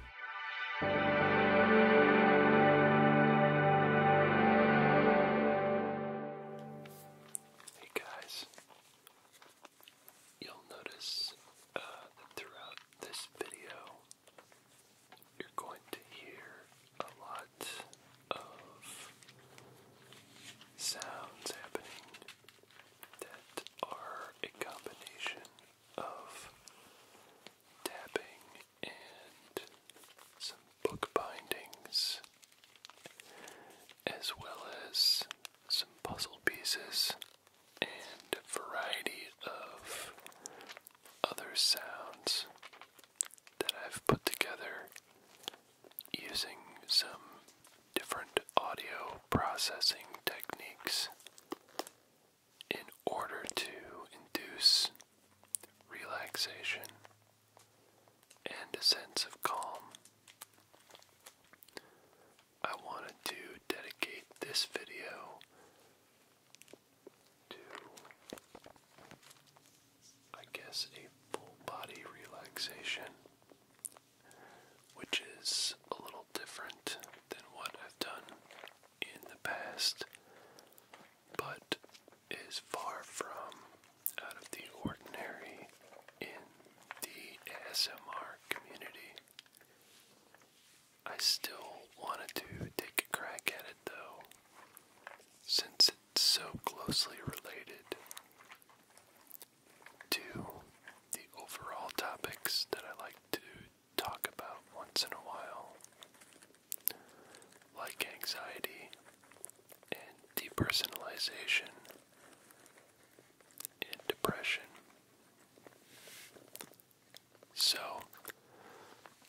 guys, you'll notice uh, that throughout this video, you're going to hear a lot of sounds happening that are a combination of tapping and some book bindings, as well as some puzzle pieces and a variety of other sounds that I've put together using some different audio processing techniques in order to induce relaxation and a sense of calm. I wanted to dedicate this video to, I guess, a full body relaxation, which is a little different than what I've done in the past, but is far from out of the ordinary in the ASMR community. I still wanted to take a crack at it though, since it's so closely related to the overall topics that I like to talk about once in a while, like anxiety and depersonalization and depression. So,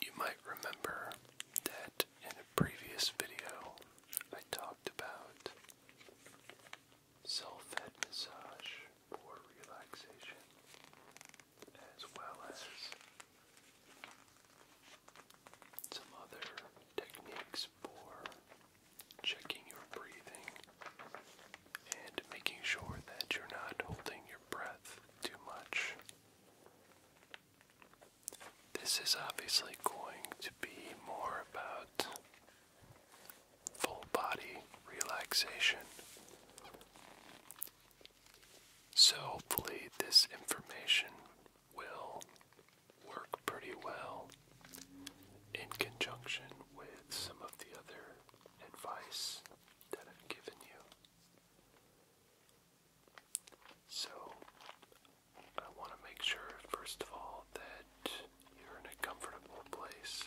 you might remember that in a previous video I talked about self-head massage for relaxation as well as some other techniques for checking your breathing and making sure that you're not holding your breath too much. This is obviously going to be more about full body relaxation. So, hopefully, this information will work pretty well in conjunction with some of the other advice that I've given you. So, I want to make sure, first of all, that you're in a comfortable place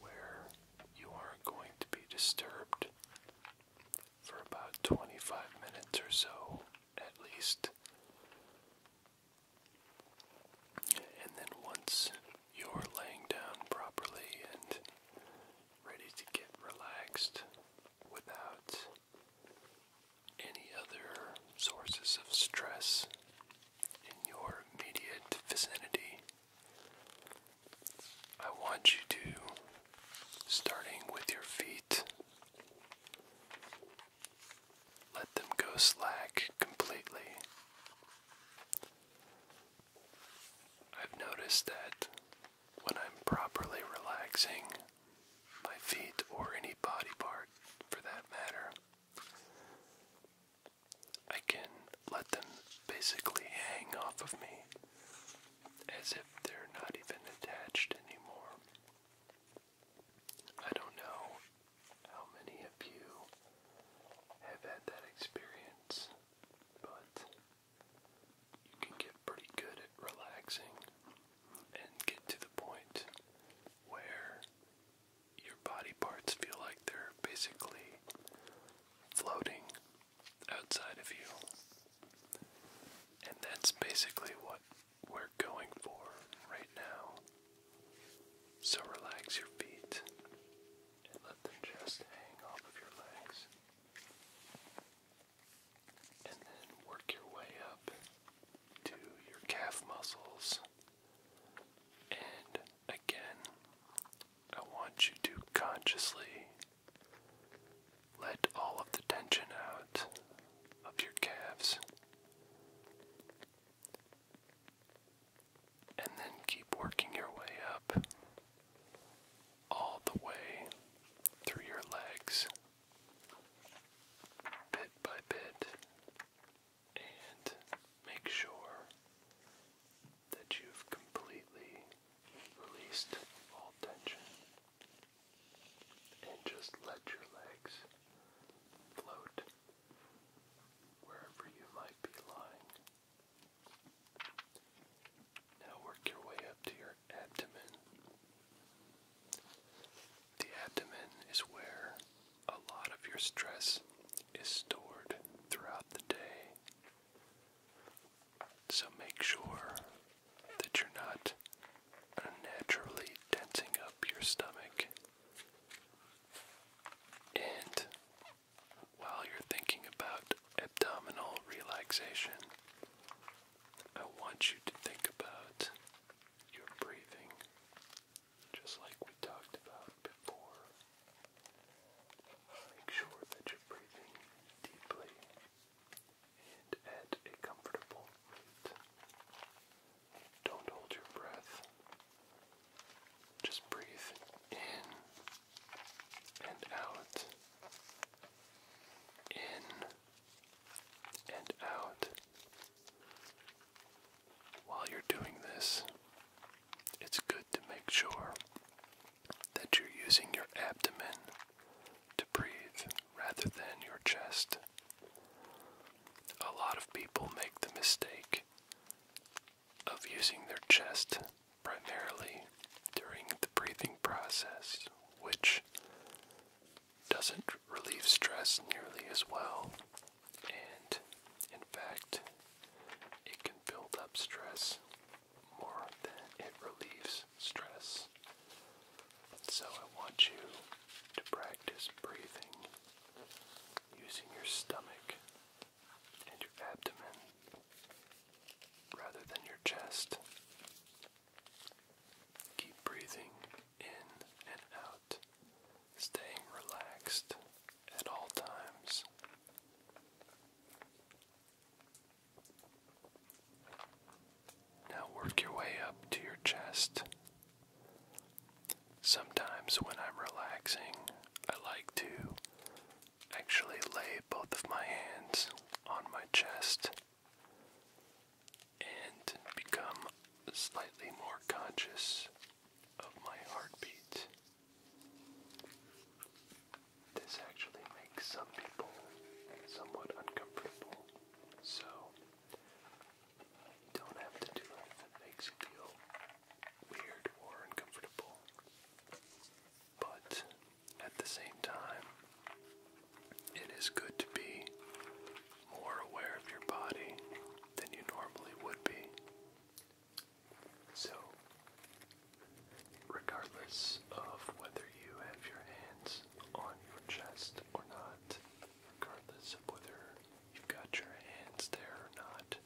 where you aren't going to be disturbed for about 25 minutes or so at least. And then once you're laying down properly and ready to get relaxed without any other sources of stress in your immediate vicinity. I want you to, starting with your feet, let them go slack completely. I've noticed that when I'm properly relaxing my feet or any body part for that matter, I can let them basically hang off of me as if they're not even attached anymore. I don't know how many of you have had that experience, but you can get pretty good at relaxing and get to the point where your body parts feel like they're basically floating outside of you. And that's basically what we're going for right now. So relax your feet and let them just hang off of your legs. And then work your way up to your calf muscles and again, I want you to consciously let all of the tension out of your calves. And then keep working your way up all the way through your legs, bit by bit, and make sure that you've completely released all tension and just let your legs float wherever you might be lying. Now work your way up to your abdomen. The abdomen is where a lot of your stress is stored throughout the day. So make sure that you're not unnaturally tensing up your stomach. And while you're thinking about abdominal relaxation, I want you to think about your breathing just like we talked about before. Make sure that you're breathing deeply and at a comfortable rate. Don't hold your breath. Just breathe in and out. In and out. While you're doing this, it's good to make sure that you're using your abdomen to breathe rather than your chest. A lot of people make the mistake of using their chest primarily during the breathing process, which doesn't relieve stress nearly as well, and in fact, it can build up stress more than it relieves stress. So, I want you to practice breathing using your stomach and your abdomen rather than your chest. Keep breathing in and out, staying relaxed at all times. Now work your way up to your chest. Sometimes when I'm relaxing, I like to actually lay both of my hands on my chest and become slightly more conscious of my heartbeat. This actually makes some people somewhat uncomfortable, so don't have to do it if it makes you feel weird or uncomfortable. But at the same time, it is good to be more aware of your body than you normally would be. So, regardless of whether you have your hands on your chest or not, regardless of whether you've got your hands there or not,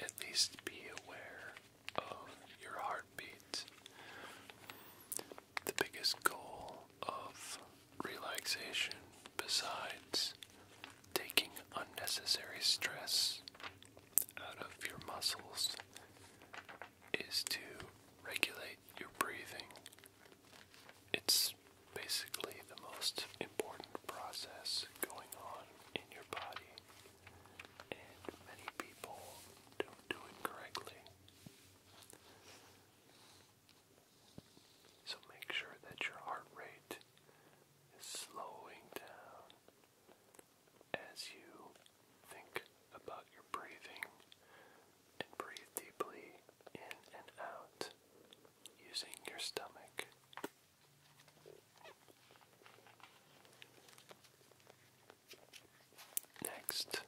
at least be aware of your heartbeat. The biggest goal of relaxation besides taking unnecessary stress out of your muscles is to regulate your breathing. It's basically the most important process going on in your body, and many people don't do it correctly. So make sure that your heart rate is slowing down as you think about your breathing and breathe deeply in and out using your stomach. Next,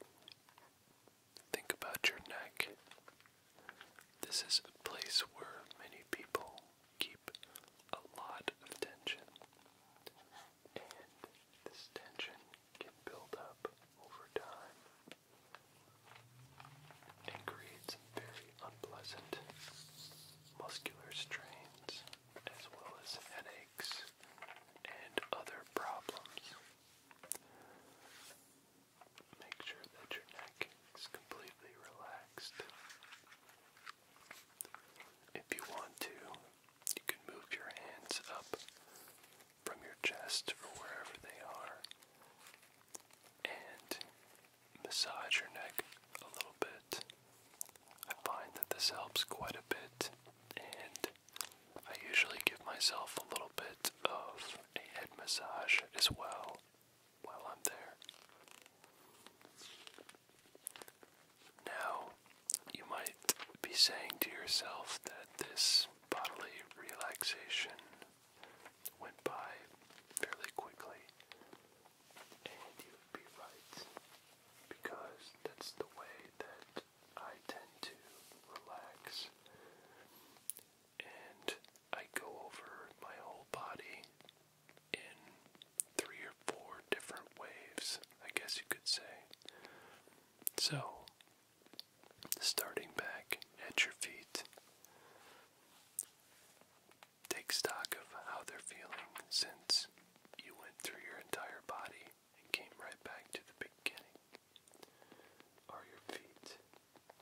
Think about your neck. This is a place where many people keep a lot of tension, and this tension can build up over time and create very unpleasant muscular strains as well as headaches and other problems. Make sure that your neck is completely relaxed. If you want to, you can move your hands up from your chest or wherever they are and massage your neck a little bit. I find that this helps quite a bit and I usually give myself a little bit of a head massage as well while I'm there. Now, you might be saying to yourself that this bodily relaxation went by fairly quickly, and you would be right because that's the way that I tend to relax and I go over my whole body in three or four different waves, I guess you could say. So, starting back at your feet, take stock of how they're feeling since you went through your entire body and came right back to the beginning. Are your feet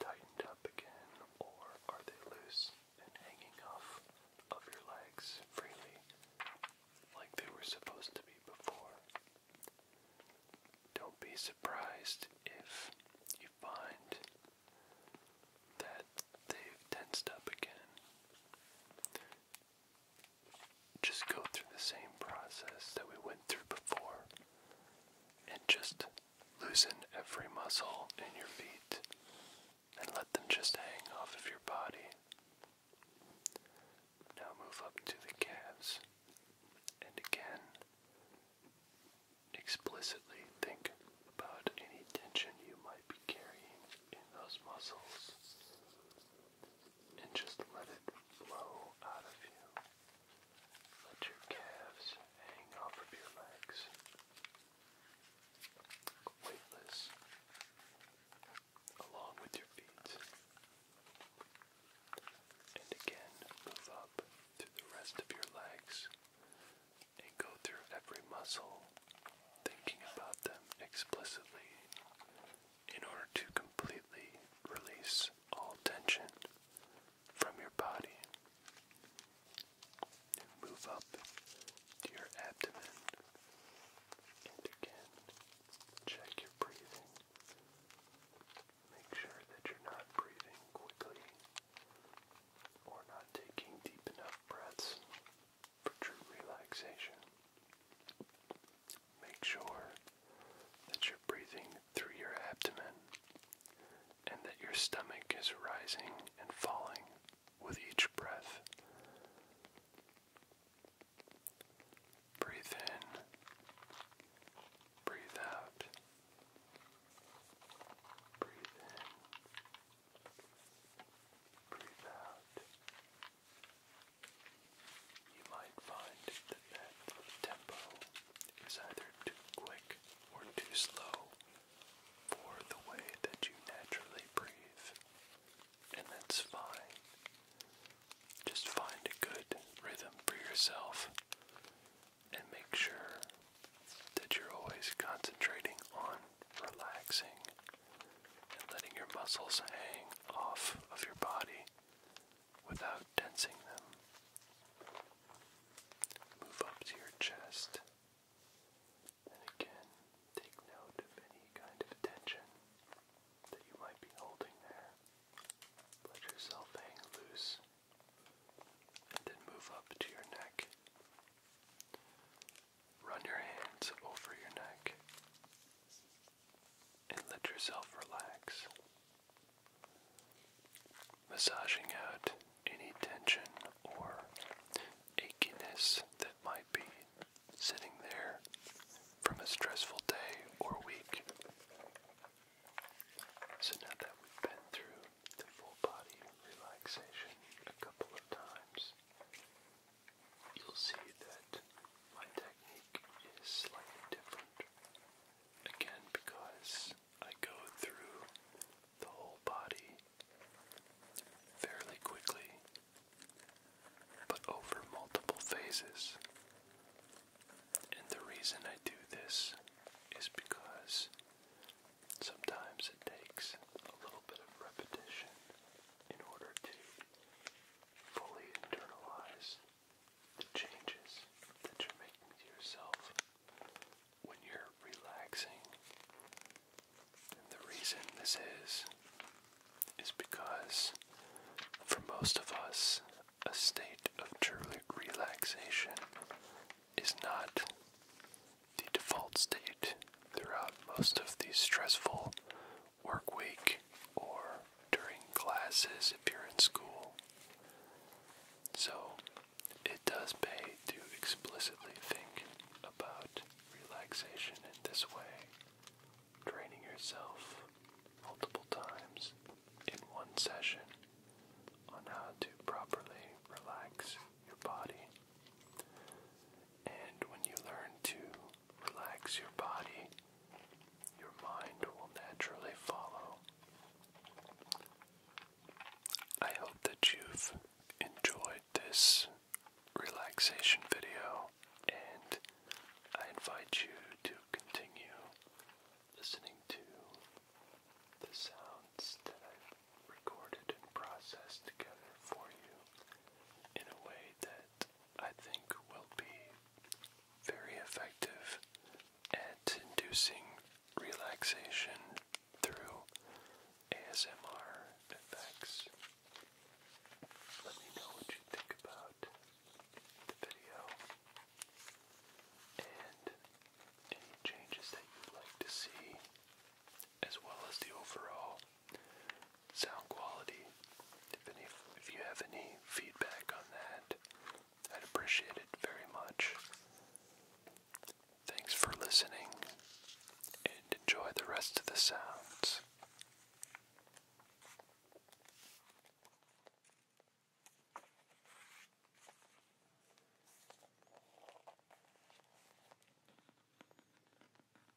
tightened up again or are they loose and hanging off of your legs freely like they were supposed to be before? Don't be surprised if you find that they've tensed up again. Just go through the same process that we went through before and just loosen every muscle in your feet and let them just hang off of your body. Now move up to the calves and again explicitly think about any tension you might be carrying in those muscles and just let it flow out of you. Let your calves hang off of your legs. Weightless. Along with your feet. And again, move up to the rest of your legs and go through every muscle, thinking about them explicitly in order to completely release all tension from your body. move up to your abdomen. And again, check your breathing. Make sure that you're not breathing quickly or not taking deep enough breaths for true relaxation. Make sure that you're breathing through your abdomen and that your stomach is rising and falling with each breath. Breathe in, breathe out, breathe in, breathe out, you might find that that tempo is either too quick or too slow for the way that you naturally breathe, and that's fine. Just find a good rhythm for yourself and make sure that you're always concentrating on relaxing and letting your muscles hang off of your body without tensing them. Move up to your chest. And again, take note of any kind of tension that you might be holding there. Let yourself hang loose. And then move up to your neck. Run your hands over your neck and let yourself relax, massaging out any tension or achiness that might be sitting there from a stressful day or week. So now that we've been through the full body relaxation a couple of times, you'll see that my technique is slightly different. Again, because I go through the whole body fairly quickly, but over multiple phases. And the reason I do this is because sometimes it takes a little bit of repetition in order to fully internalize the changes that you're making to yourself when you're relaxing. And the reason this is, is because for most of us, a state of true relaxation is not the default state throughout most of these stressful work week or during classes if you're in school. So it does pay to explicitly think about relaxation in this way, training yourself multiple times in one session on how to properly relax your body. And when you learn to relax your body, your mind will naturally follow. I hope that you've enjoyed this relaxation video, and I invite you to continue listening to the sounds that I've recorded and processed together for you in a way that I think will be very effective at inducing relaxation through ASMR effects. Let me know what you think about the video and any changes that you'd like to see, as well as the overall sound quality. If any, if you have any feedback on that, I'd appreciate it very much. Thanks for listening, and enjoy the rest of the sounds.